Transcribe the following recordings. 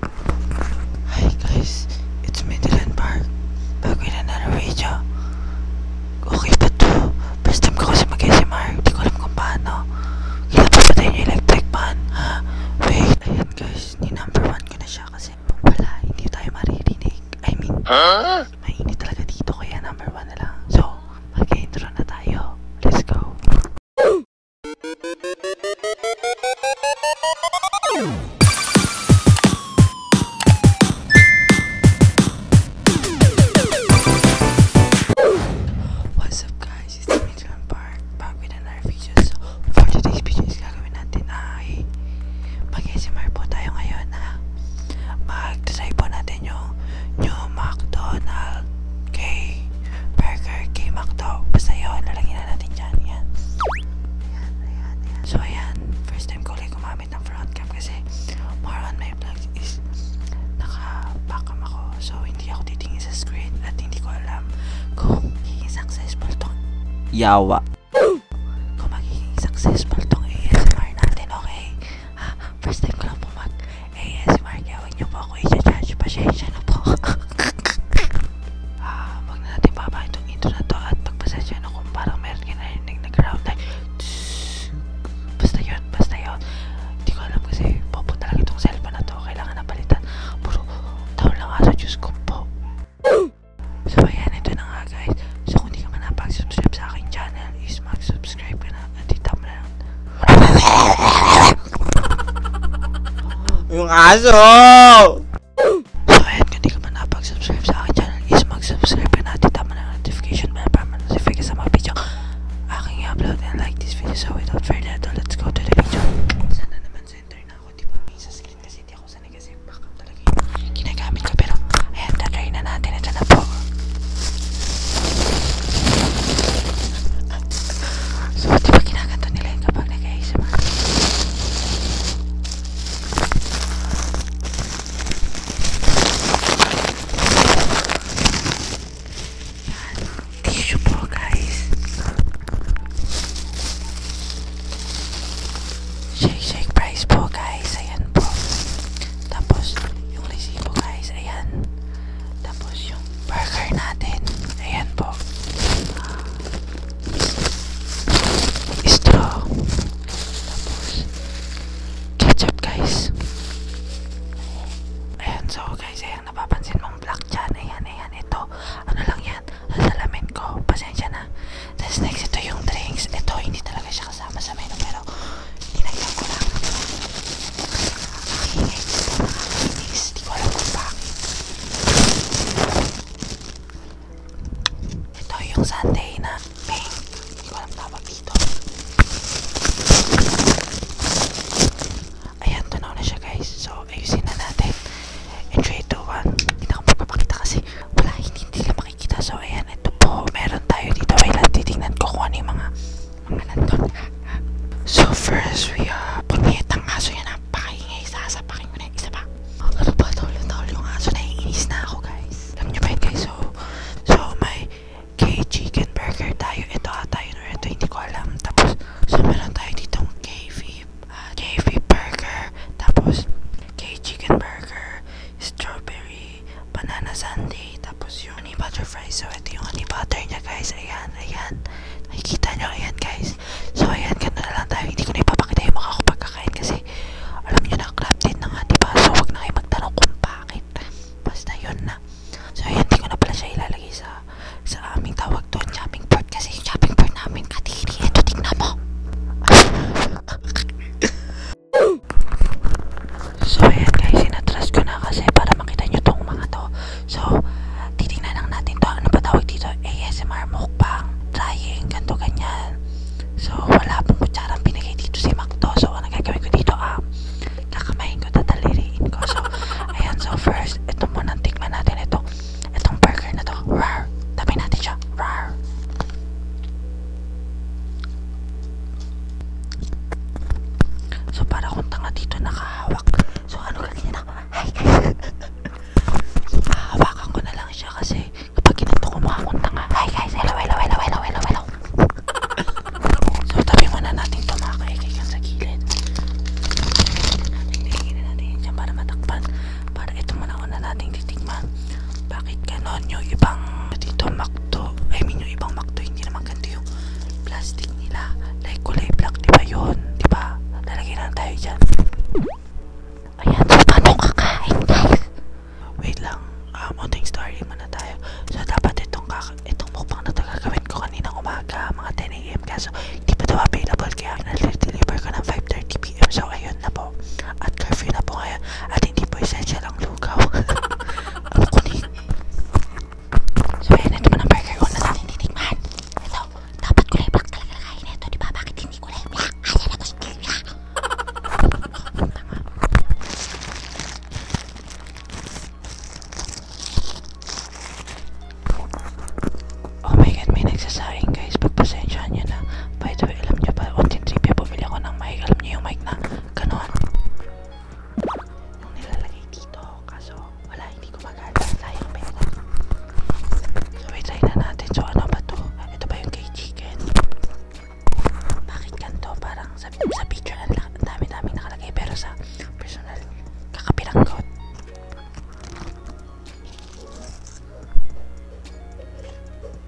Hi guys, it's Midland Park. Back with another video. Okay pa to. First time ko kasi mag-SMR. Hindi ko alam kung paano. Kailan pa patay yung electric pan? Ha? Wait. Ayan guys, ni number one ko na siya kasi wala. Hindi tayo maririnig. I mean, huh? mainit talaga dito kaya number one na lang. So, mag-intro na tayo. Let's go. What's up guys? It's me, John Park. Back with another video. So, for today's video is gagawin natin ay mag-SMR po tayo ngayon ha. Mag-try po natin yung new McDonald's. Okay? Burger K McDo. Basta yun, lalagyan na natin dyan. Yan. Ayan, ayan, ayan. So, ayan. First time ko ulit gumamit ng front cam kasi more on my vlog is naka-backcam ako. So, hindi ako titingin sa screen at hindi ko alam kung magiging successful tong yawa. Kung magiging successful tong ASMR natin, okay? Ha? First time ko lang po mag-ASMR kaya kaya huwag niyo po ako isa-judge. Pasensya na po. ah, wag na natin baba itong intro na to at pagpasensya na kung parang meron ka narinig na ground like basta yun, basta yun. Hindi ko alam kasi popo talaga itong cellphone na to. Kailangan na palitan. Puro taon lang araw Diyos ko po. So, ayan. Ito na nga guys. So, kung hindi ka man napag-subscribe sa aking channel is mag-subscribe ka na at itap na lang yung aso! So ayun, kung di ka man napag-subscribe sa aking channel is mag-subscribe ka natin. Tama na notification bell para ma-notify ka sa mga video aking upload and like this video. So without further ado, let's go to the video. Sana naman center na ako, di ba? Sa screen kasi di ako sanay kasi backup talaga yung ginagamit ko. Pero ayan, tatry na natin. Ito na po. So, di ba kinakanto nila yun kapag nag-ASMR? Yan. Tissue po, guys. Shake, shake price po, guys. Ayan po. Tapos, yung lisi po, guys. Ayan. Tapos, yung burger natin. Ayan po. Straw. Tapos, ketchup guys. Ayan, so guys, ayan, napapansin mong black dyan. Ayan, ayan, ito. Ano lang yan? Lasalamin ko. Pasensya na. Tapos next, ito yung drinks. Ito, hindi talaga siya kasama sa menu, pero tinagyan ko lang. Nakihingay ko sa mga kainis. Di ko alam kung bakit. Ito yung sundae na pink. Di ko alam tawag dito. Ayan, tunaw na siya guys. So, ayusin na natin. In 3, 2, 1. Hindi na ako magpapakita kasi wala, hindi nila makikita. So, ayan, ito po. Meron tayo dito. Wait lang, titignan ko kung ano yung mga mga nandun. So first, we uh, pagpihit ng aso yan, napakaingay ah. sa asapakin ah. ko na yung isa pa. Ano ba, tawal-tawal yung aso, naiinis na ako guys. Alam nyo ba yun guys, so, so may K-Chicken Burger tayo, ito ata yun or ito, hindi ko alam. Tapos, so meron tayo ditong K-V, uh, K-V Burger, tapos K-Chicken Burger, Strawberry, Banana Sundae, tapos yung honey butter fries. So, ito yung honey butter niya, guys. Ayan, ayan. Nakikita nyo, ayan, guys. So, ayan, ganun na lang tayo. Hindi ko na ipapakita yung mukha ko pagkakain kasi alam nyo na, crap din na nga, diba? So, wag na kayo magtanong kung bakit. Basta yun na. So, ayan, hindi ko na pala siya ilalagay sa sa aming tawag doon, shopping board. Kasi yung shopping board namin, katiri. Ito, tignan mo. So, ayan guys, inatrust ko na kasi para makita nyo tong mga to. So, titingnan lang natin to. Ano ba tawag dito? ASMR mukbang, trying, ganto ganyan. So, wala pong kutsarang pinagay dito si Macto. So, ang nagagawin ko dito, ah, kakamahin ko, tataliriin ko. So, ayan, so first, ito muna, tikman natin ito. Itong burger na to. Rar! Tapin natin siya. Rar! So, para kung tanga dito nakahawak. So, ano kanina? Hi guys! Hahawakan ko na lang siya kasi kapag ginanto ko mukha kong tanga. Hi guys! Hello, hello, hello, hello, hello, hello. so, tabi muna natin ito mga kaikikan sa gilid. Titignan natin yan dyan para matakpan. Para ito muna una natin titigman. Bakit ganon yung ibang dito makto? I mean, yung ibang makto hindi naman ganito yung plastic nila. Like kulay black, di ba yun? Di ba? Lalagyan na tayo dyan. Ayan, so paano kakain guys? Wait lang, uh, ah, mounting story muna tayo. So dapat itong, kaka itong mukbang na ito gagawin ko kanina umaga, mga 10am. Kaso hindi pa daw available kaya nal-deliver ko ng 5.30pm. So ayun na po. At curfew na po ngayon. At hindi po essential ang lugaw. Ako kunin. So, ayan, ito mo ng burger ko na natin titikman. Ito, dapat kulay black talaga kain ito, di ba? Bakit hindi kulay black? Ayan ako si Kira. Oh my God, may nagsasaing guys. Pagpasensyaan nyo na. By the way, alam nyo ba, on tintripia, bumili ako ng mic. Alam nyo yung mic na, ganon yung nilalagay dito kaso wala hindi gumagana sayang pera so itry na natin so ano ba to ito ba yung cake chicken bakit ganito parang sa, sa picture ang dami dami nakalagay pero sa personal kakapiranggot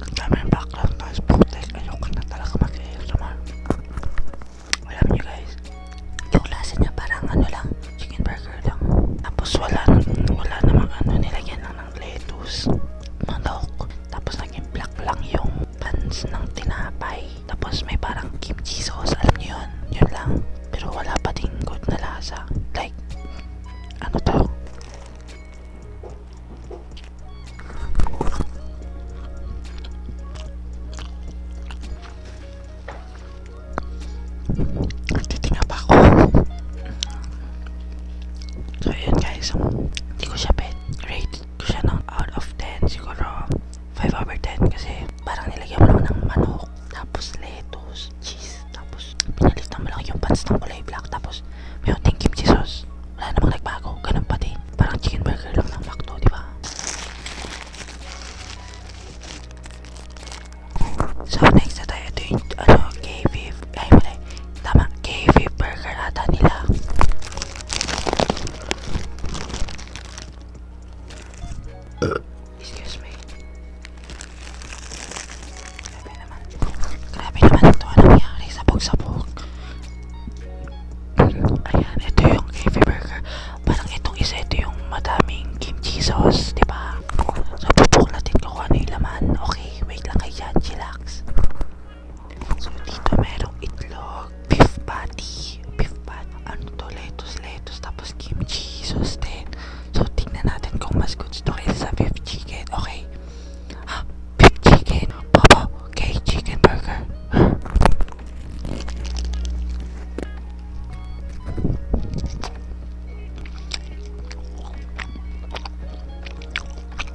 Ang dami ng background noise, putik. Ayoko na talaga mag-ASMR. Alam nyo guys, yung lasa niya parang ano lang, chicken burger lang. Tapos wala, wala namang ano, nilagyan lang ng lettuce, manok. Tapos naging black lang yung buns ng tinapay. Tapos may parang kimchi sauce, alam niyo yun, yun lang. Pero wala pa ding good na lasa. Like, ano to? Titinga pa ako. So, yun guys. Hindi ko siya pet. Rated siya ng out of 10 siguro 5 over 10 kasi parang nilagyan mo lang ng manok tapos lettuce, cheese tapos pinalitan mo lang yung pants ng kulay black tapos mayroon ding kimchi sauce wala namang nagbago ganun pa din parang chicken burger lang ng McDo diba so next na tayo ito yung ano KV ay wala tama KV burger ata nila Excuse me. Grabe naman. Grabe naman ito ang nangyari. Sabog-sabog. Ayan, ito yung heavy burger. Parang itong isa, ito yung madaming kimchi sauce, di ba? So, pupok natin kung ano yung laman. Okay, wait lang kayo dyan. Chillax. Sonita it itlog, beef patty, beef patty. and ah, to? Lettuce, lettuce, tapos kimchi, Zo, din. So, tingnan natin kung mas goods to kaysa beef chicken, okay? Oh, ha? Ah, beef chicken? Papa okay, chicken burger.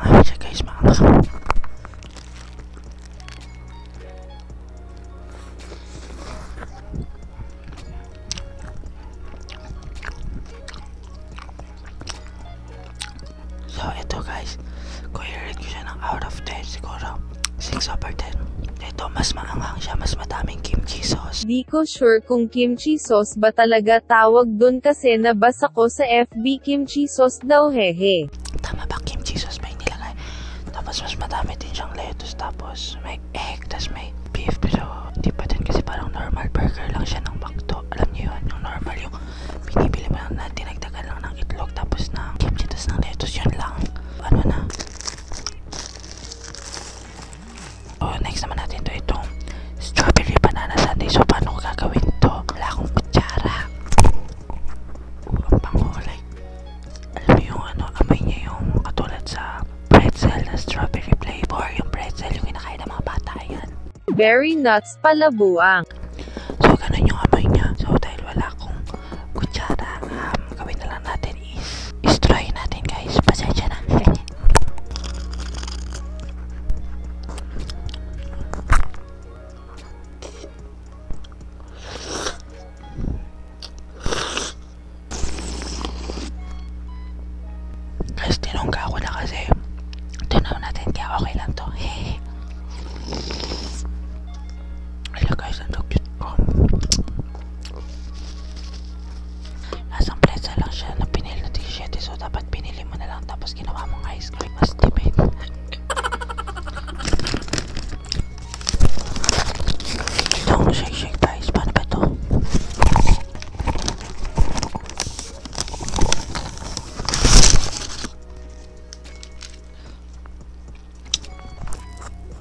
Maangas siya guys, maangas. So, ito guys. Kung i-rate ko siya ng out of 10, siguro 6 over 10. Ito, mas maanghang siya, mas madaming kimchi sauce. Di ko sure kung kimchi sauce ba talaga talaga tawag dun kasi nabasa ko sa FB kimchi sauce daw hehe. Tama ba kimchi sauce may nilagay? Tapos mas madami din siyang lettuce tapos may egg tapos may beef pero hindi pa din kasi parang normal burger lang siya ng bakto. Alam niyo yun, yung normal yung binibili mo lang na dinagdagan lang ng itlog tapos ng kimchi tapos ng lettuce yun lang. Ano na? So, oh, next naman natin to itong strawberry banana sundae. So, paano ko gagawin to? Wala akong kutsara. Uh, ang pango, like, alam mo yung ano, amoy niya yung katulad sa pretzel na strawberry flavor. Yung pretzel, yung kinakain ng mga bata, yan. Very nuts pala buang. So, ganun yung amoy niya. So, dahil wala akong kutsara, um, gawin na lang natin is istroy natin guys. Pasensya na. guys, tinungga ako na kasi. Tunaw natin kaya okay lang to. Hehehe. Hello guys, ang cute ko. Lasang pretzel lang siya na pinili na t-shirt. So, dapat pinili mo na lang tapos ginawa mong ice cream. Mas tipid. Itong shake-shake guys. Paano ba ito?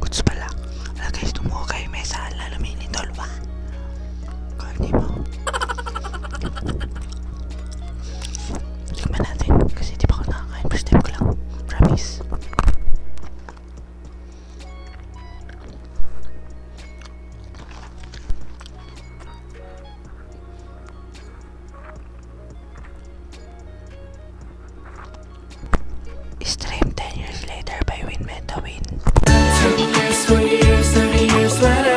Goods pala. Wala guys, tumuko kayo may saan lalo may nitol ba? Kaya mo. Tikman natin kasi di pa ako nakakain. First time ko lang. Promise. Stream 10 years later by Win Meta Win. 10 years, 20 years, 30 years later.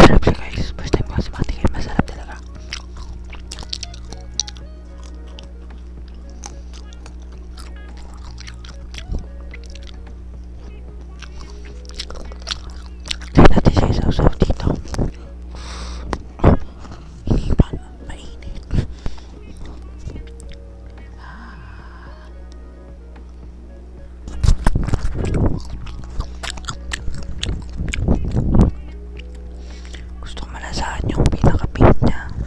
Sarap siya guys. First time ko sa mga tingin. Masarap talaga. Kaya natin siya isaw-saw dito. Oh, hindi pa mainit. Gusto ko malasahan yung pinaka-pink niya.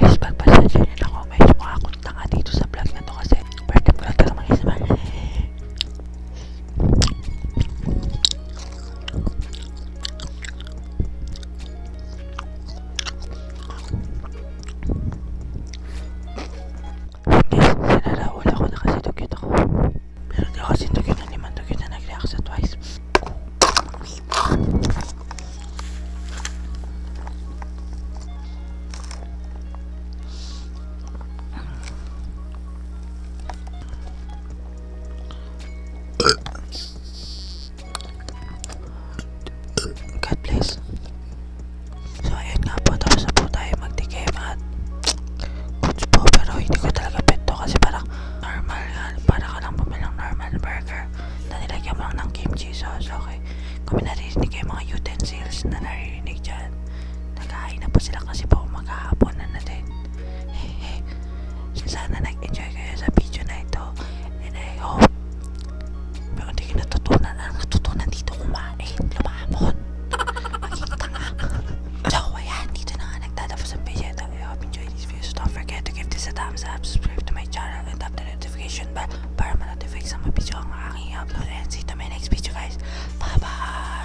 Guys, pagpasensya nyo na ako. Medyo mga kuntanga dito sa vlog na to kasi first time ko lang talaga mag-isama. Guys, sinaraul ako na kasi dugit ako. Pero di ako kasi dugit na naman. Dugit na nag-react sa twice. God bless. So, ayun nga po. Tapos na po tayo magtikim at goods po. Pero hindi ko talaga pinto kasi parang normal nga. Parang ka lang bumilang normal burger na nilagyan mo lang ng kimchi sauce, okay? Kung naririnig kayo mga utensils na naririnig dyan, naghahain na po sila kasi po maghahapon na natin. Hehe. Sana nag-enjoy kayo sa video na ito and I hope may hindi kayo natutunan ang natutunan dito kumain, lumahapon. Magiging tanga. so, ayan, dito na nga nagtatapos ang video I hope you enjoyed this video. So don't forget to give this a thumbs up, subscribe to my channel, and tap the notification bell para ma sa mga video ang upload. And see you to my next video, guys. Bye-bye!